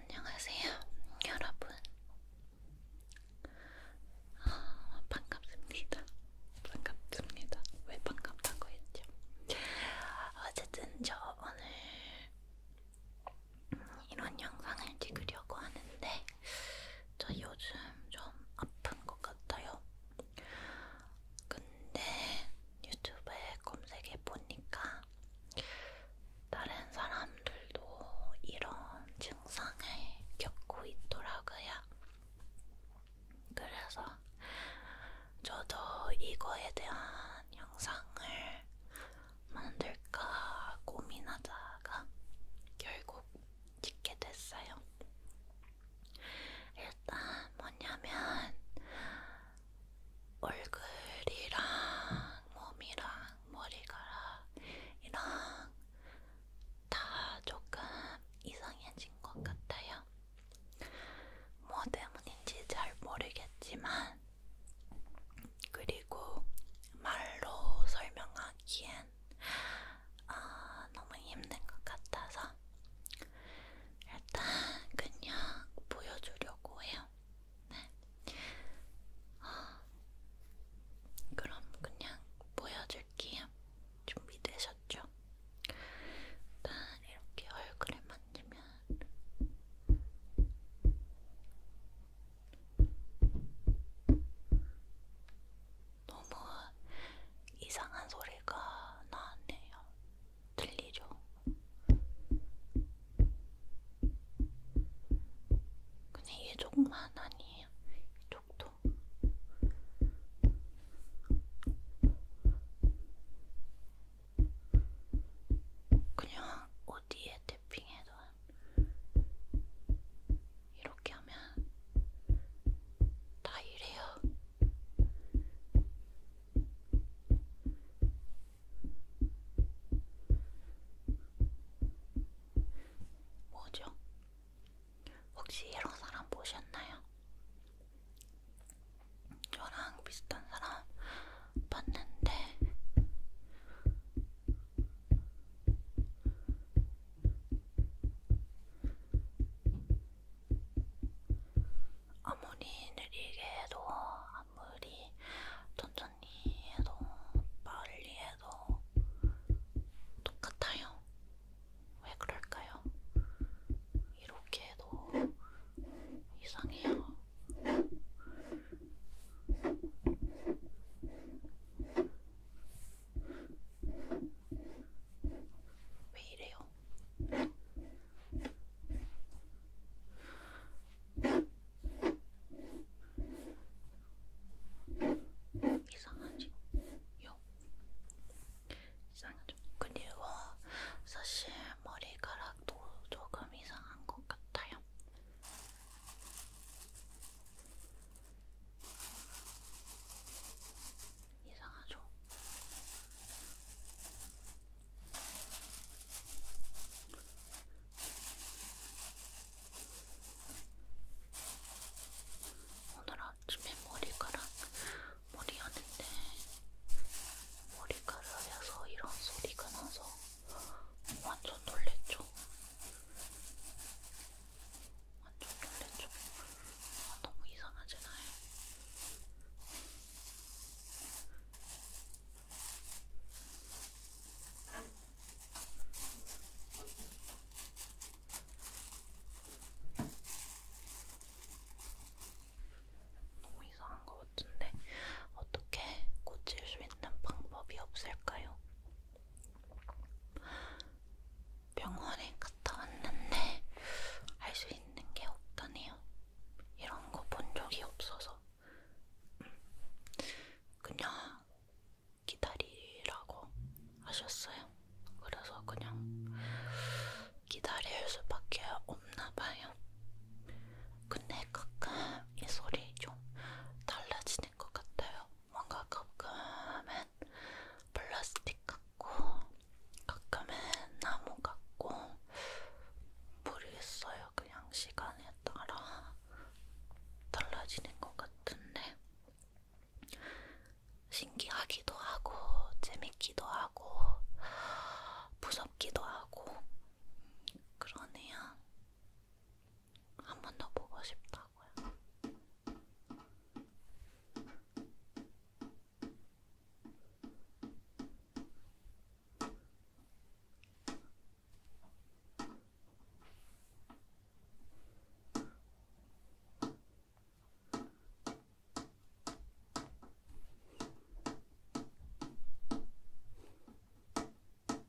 안녕하세요, 여러분. 아, 반갑습니다. 반갑습니다. 왜 반갑다고 했죠? 어쨌든 저 오늘 이런 영상을 찍으려고 하는데 저 요즘 좀 아픈 것 같아요. 근데 유튜브에 검색해 보니까 다른 사람들도 이런 증상을 겪고 있더라고요. 그래서 저도 이거에 대한 영상을 만들까 고민하다가 결국 찍게 됐어요. 일단 뭐냐면 얼굴이랑 몸이랑 머리카락 이랑 다 조금 이상해진 것 같아요. 뭐 때문인지 잘 모르겠지만 그리고 말로 설명하기엔 아, 너무 힘든 것 같아서 일단 그냥 보여주려고 해요. 네. 아, 그럼 그냥 보여줄게요. 준비되셨죠? 일단 이렇게 얼굴에 만지면 너무 이상한 소리가 나네요. 틀리죠. 근데 이쪽만 아니에요. 이쪽도. 그냥 어디에 태핑해도 이렇게 하면 다 이래요. 뭐죠? 혹시 이런 사람 보셨나요? 저랑 비슷한 사람 봤는데 아무리 느리게 해도 아무리 천천히 해도 빨리 해도 똑같아요. 왜 그럴까요? 이렇게 해도 이상해요. 왜 이래요? 이상하죠? 요. 이상하죠? 그리고 사실 머리카락도 조금 이상한 것 같아요. 이상하죠? 오늘 아침에 머리카락 머리 하는데 머리카락에서 이런 소리가 나서 완전 놀랬죠. 완전 놀랬죠? 아, 너무 이상하잖아요. 너무 이상한 것 같은데 어떻게 고칠 수 있는 방법이 없을까요? 병원에 갔다 왔는데 할 수 있는 게 없다네요. 이런 거 본 적이 없어서 그냥 기다리라고 하셨어요. 그래서 그냥 기다릴 수밖에 없나 봐요. 근데 가끔 이 소리 좀 달라지는 것 같아요. 뭔가 가끔은 플라스틱 같고 가끔은 나무 같고 모르겠어요. 그냥 시간에 따라 달라지는 것 같은데 신기하기도 하고 재밌기도 하고 무섭기도 하고 그러네요. 한번더 보고 싶다고요.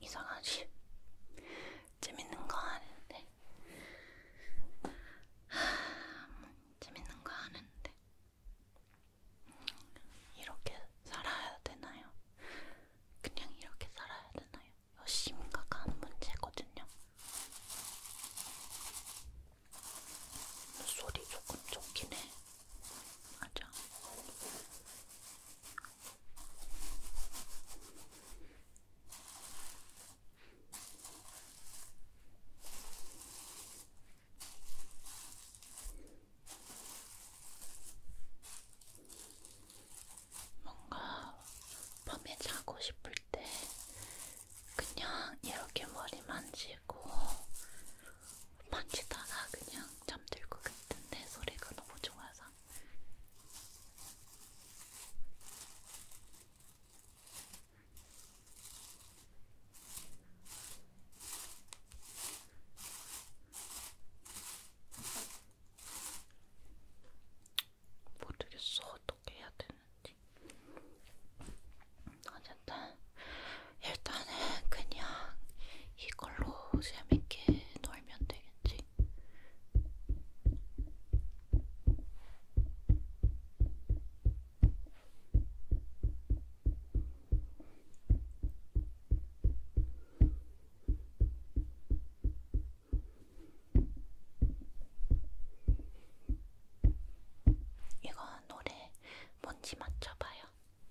이상하지? 재밌는 거 아는데 하, 재밌는 거 아는데 이렇게 살아야 되나요? 그냥 이렇게 살아야 되나요? 이거 심각한 문제거든요. 소리 조금 좋긴 해. 맞아. 뭔가 밤에 자고 싶을 때 그냥 이렇게 머리 만지고 만지다가 그냥 잠들 것 같은데 소리가 너무 좋아서 모르겠어 어떻게 해야 되는지 어쨌든 일단은 그냥 이걸로 재밌게 놀면 되겠지. 이건 노래 뭔지 맞춰봐요.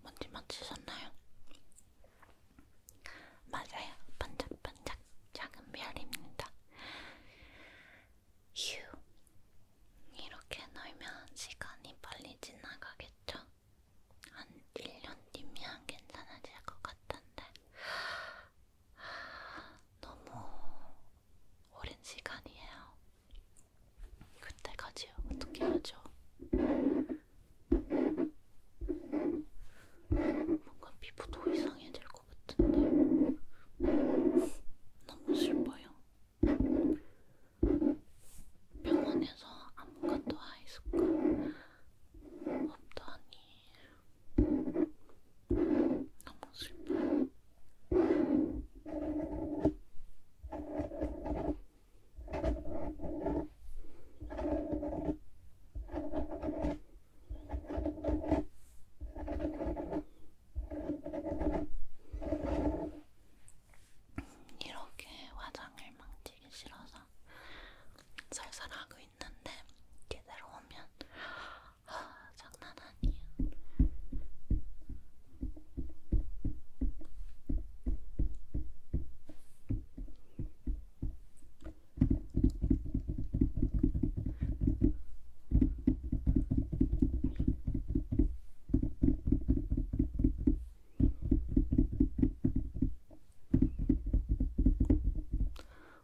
뭔지 맞히셨나요? 맞아요. 반짝반짝 작은 별입니다. 휴. 이렇게 놀면 시간이 빨리 지나가겠죠? 한 1년 뒤면 괜찮아질 것 같은데. 너무 오랜 시간이에요. 그때까지 어떻게 하죠? 뭔가 피부도 이상해질 것 같은데 너무 슬퍼요. 병원에서 아무것도 안 했을까? 없더니 너무 슬퍼. 이렇게 화장을 망치기 싫어서 살살 하고 있는데 제대로 오면 아, 장난 아니야.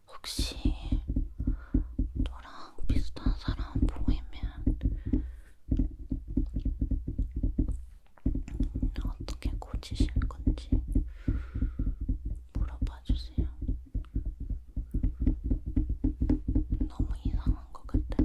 혹시 너랑 비슷한 사람 보이면 어떻게 고치실 건지 물어봐 주세요. 너무 이상한 것 같아.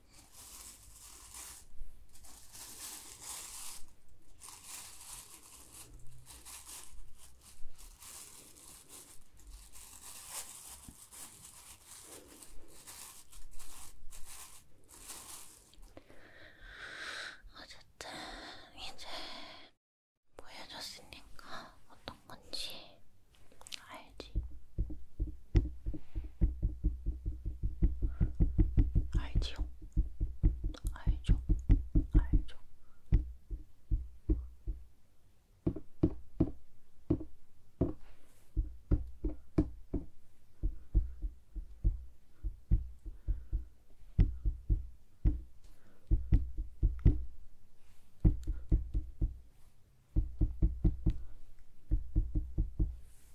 어쨌든 이제 보여줬으니까 어떤 건지 알지? 알지요? 알죠? 알죠?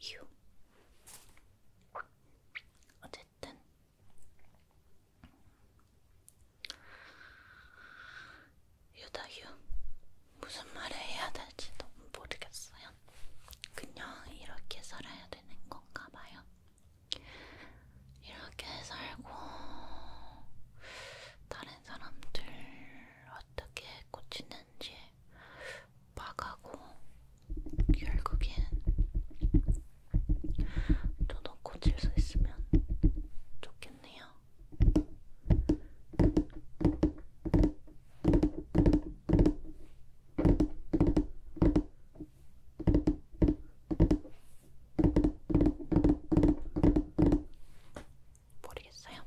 휴. 어쨌든 유다유 무슨 말을 해야 될지 너무 모르겠어요. 그냥 이렇게 살아야 되는 건가 봐요. 이렇게 살고 다른 사람들 어떻게 꽂히는지 막하고 결국엔 저도 꽂힐 수 있으면 좋겠네요. 모르겠어요.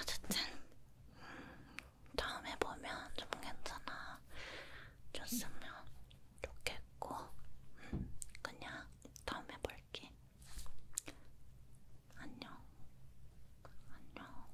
어쨌든 음, 다음에 보면 좀 괜찮아 줬으면 좋겠고 음, 그냥 다음에 볼게. 안녕. 안녕.